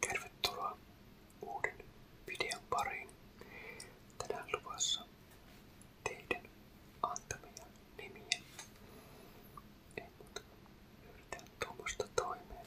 Tervetuloa uuden videon pariin. Tänään luvassa teidän antamia nimiä. Ei muuta yritän tuommoista toimeen.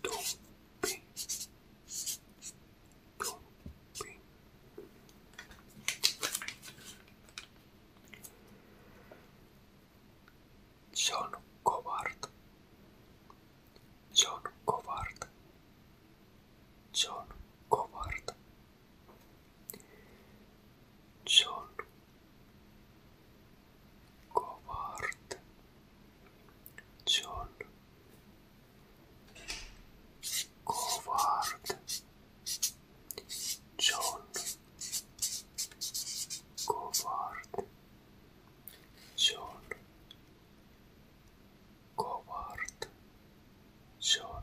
Tompi. Tompi. Sono covarde. Sono covarde. Sono covarde. John Covard, John Covard, John Covard, John Covard, John.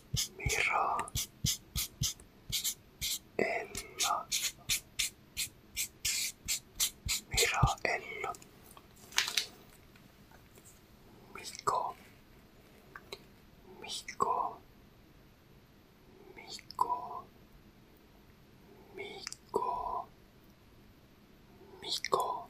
Mira el Mira el mico mico mico mico mico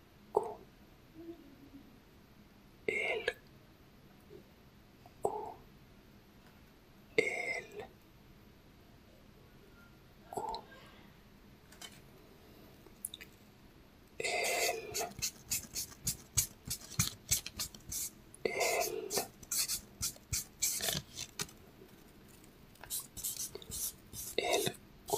Q, el, Q, el, Q, el, el, el, Q.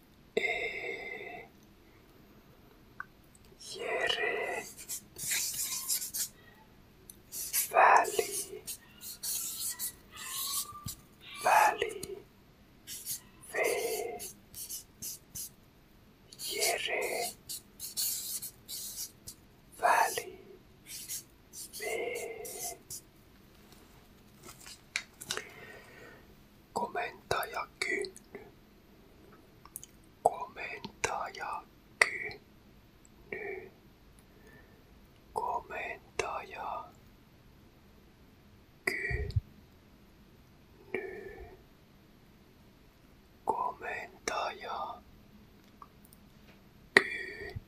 e Yere Valley Valley Ve Yere Valley Ve Komentaja Kynny. Komentaja Kynny. Komentaja Kynny. Komentaja Kynny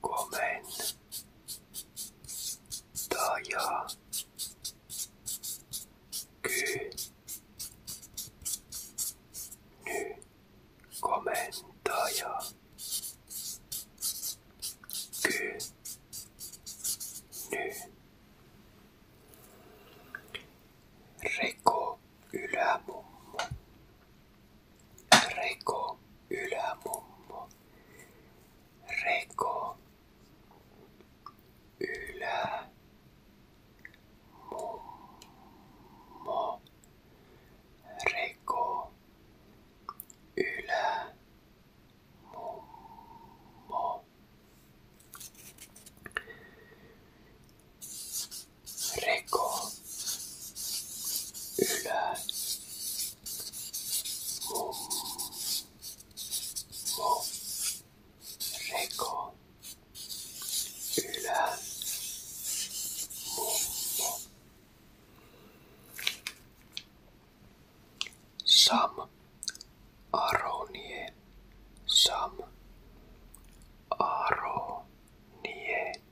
komentaja ky ny komentaja ky ny Reko ylämummo Reko ylämummo. Reko ylä mummo. Reko ylä mummo reko, ylä, mum, mum, reko, ylä, mummo. Sam, aronie, sam, aronie.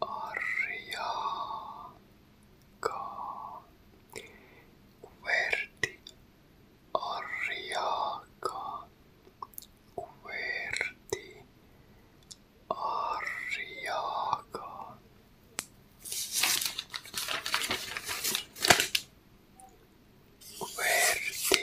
Arriaga. Kuverti. Arriaga. Kuverti. Arriaga. Kuverti.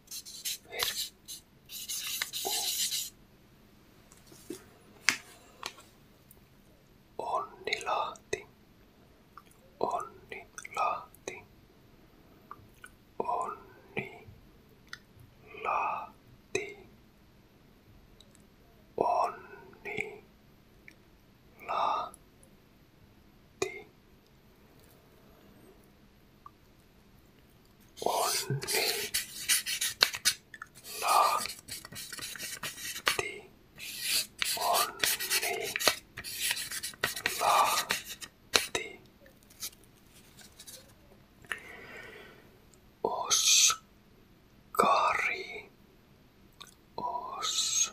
ver. Onni Lahti. Onni Lahti. Onni Lahti. Onni Lahti onni, onni, lahti. Oskari, oskari,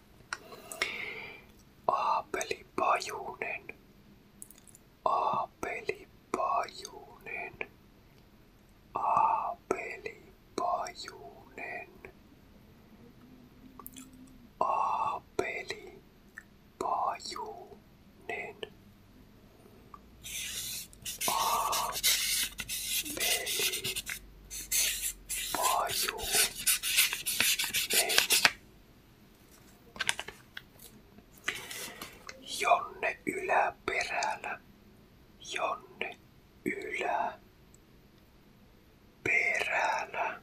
Aapeli Pajunen. Aapeli Pajunen. Aapeli Pajunen. Aapeli Pajunen. Aapeli Paju. Jonne yläperällä. Jonne ylä. Perällä.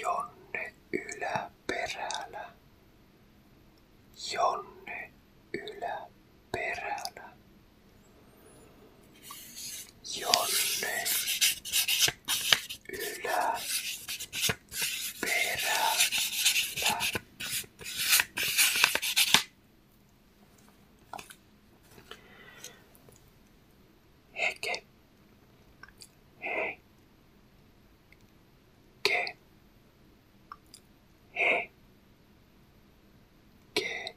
Jonne yläperällä. Jonne yläperällä. Jonne Ylä Perällä. Heke. Hei. Ke. Hei. Ke.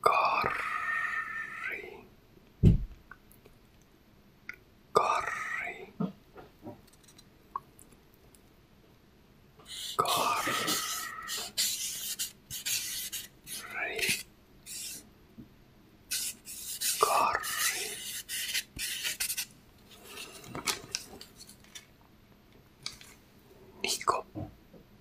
Curry. Curry. Curry. Curry. Nico.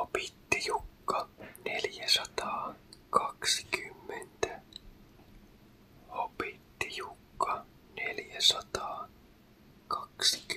Opitti Jukka 420. Opitti Jukka 420. Opitti Jukka 420.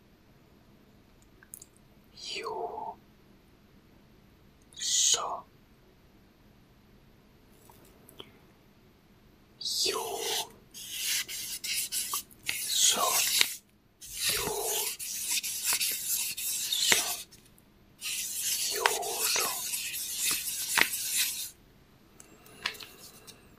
You so you so you so you so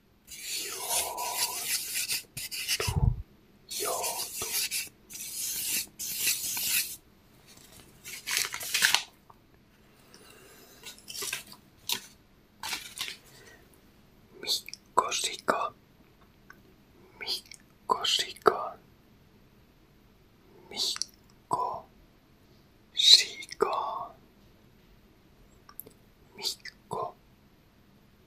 ミミミコ、コ、コ、シシシカ、カ。カ。みっコ。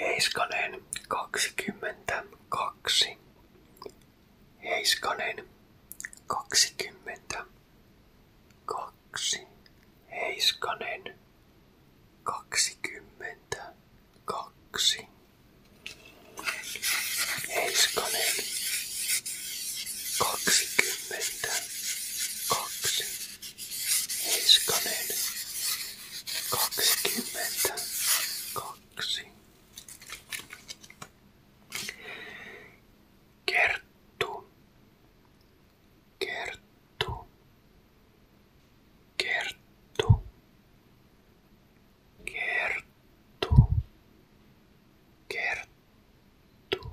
Heiskanen 22. Heiskanen 22. Heiskanen 22. Heiskanen 22. Niskanen. Kaksikymmentä. Kaksi. Kerttu. Kerttu. Kerttu. Kerttu. Kerttu.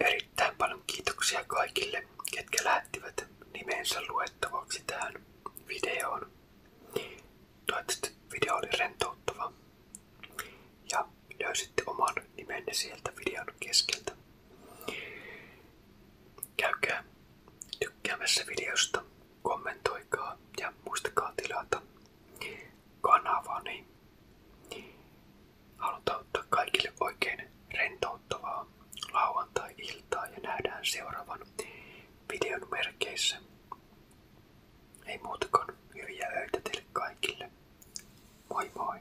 Erittäin paljon kiitoksia kaikille, ketkä lähettivät nimensä luettavaksi tähän videoon. Toivottavasti video oli rentouttava ja löysitte oman nimenne sieltä videon keskeltä. Käykää tykkäämässä videosta, kommentoikaa ja muistakaa tilata kanavani. Haluan toivottaa kaikille oikein rentouttavaa lauantai-iltaa ja nähdään seuraavan videon merkeissä. Ei muuta kuin hyviä öitä teille kaikille. Moi moi!